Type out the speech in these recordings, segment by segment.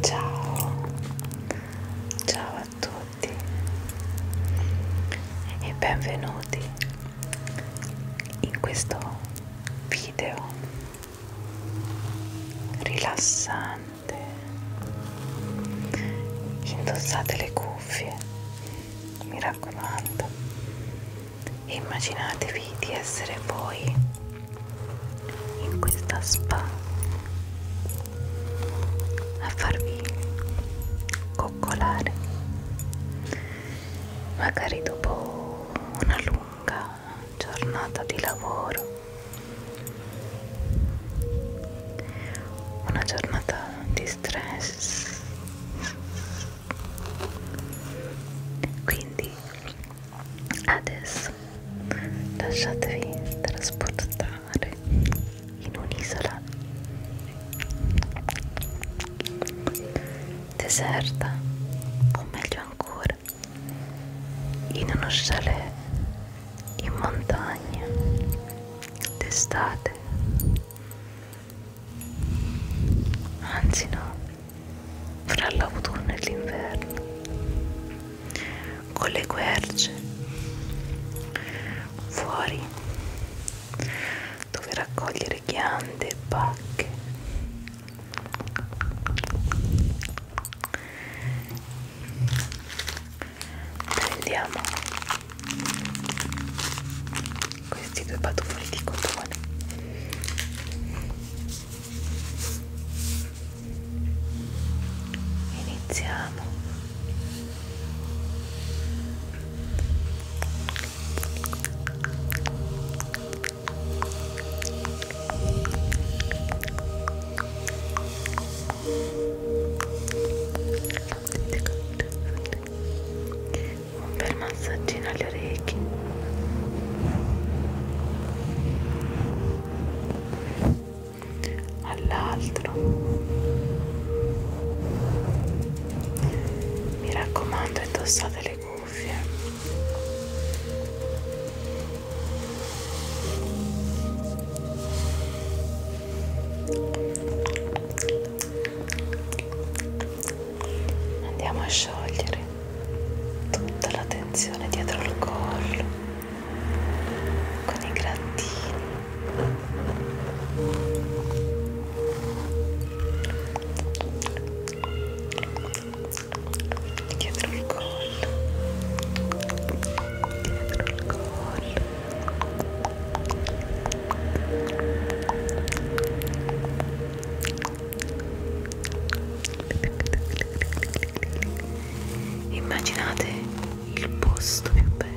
Ciao, ciao a tutti e benvenuti in questo video rilassante. Indossate le cuffie, mi raccomando, e immaginatevi di essere voi in questa spa a farvi coccolare magari dopo una lunga giornata di lavoro una giornata di stress quindi Adesso lasciatevi trasportare in un'isola deserta o meglio ancora in uno chalet in montagna d'estate anzi no fra l'autunno e l'inverno, con le querce, fuori dove raccogliere ghiande e pacche, prendiamo questi due patufoli di cotone iniziamo un bel massaggino alle orecchie all'altro mi raccomando indossate le cuffie andiamo a sciogliere tutta la tensione dietro il collo con i grattini dietro il collo dietro il collo Immaginate il posto più bello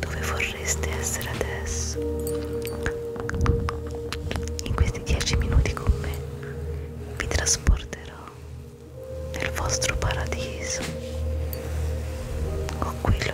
dove vorreste essere adesso. In questi dieci minuti con me vi trasporterò nel vostro paradiso o quello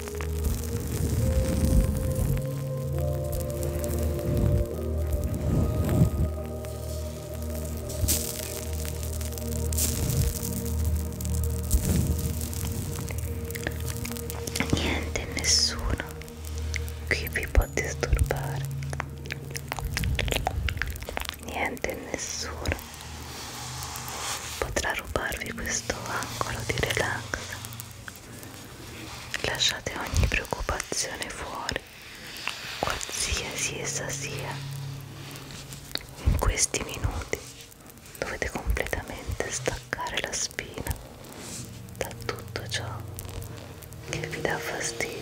Niente, nessuno qui vi può disturbare. Niente, nessuno potrà rubarvi questo angolo di relax Lasciate ogni preoccupazione fuori, qualsiasi essa sia. In questi minuti dovete completamente staccare la spina da tutto ciò che vi dà fastidio.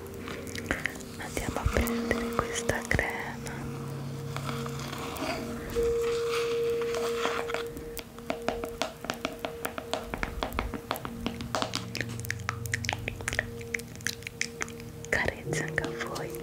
andiamo a prendere questa crema carezza anche a voi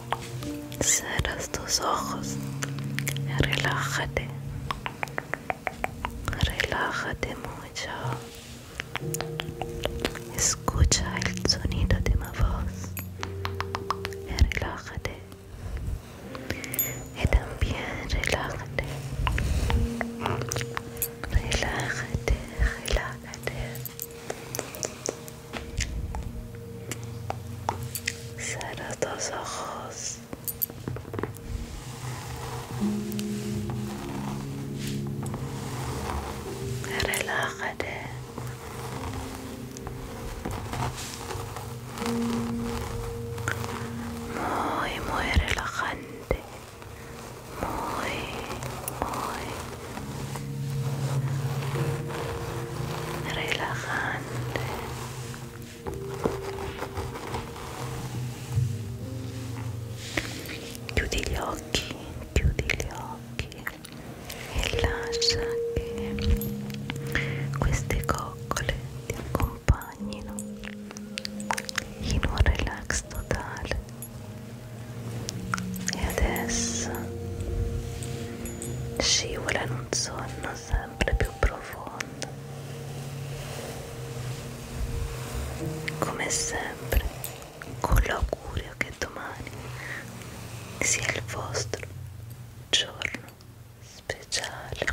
Cerras tus ojos, relájate, relájate mucho. Escucha el sonido de mi voz, relájate y también relájate, relájate, relájate. Cierra tus ojos. Relájate. Muy, muy relajante. muy, muy relajante. Chiudi gli occhi, chiudi gli occhi e lascia che queste coccole ti accompagnino in un relax totale e adesso scivola in un sonno sempre più profondo come sempre con l'augurio che domani sia il vostro giorno speciale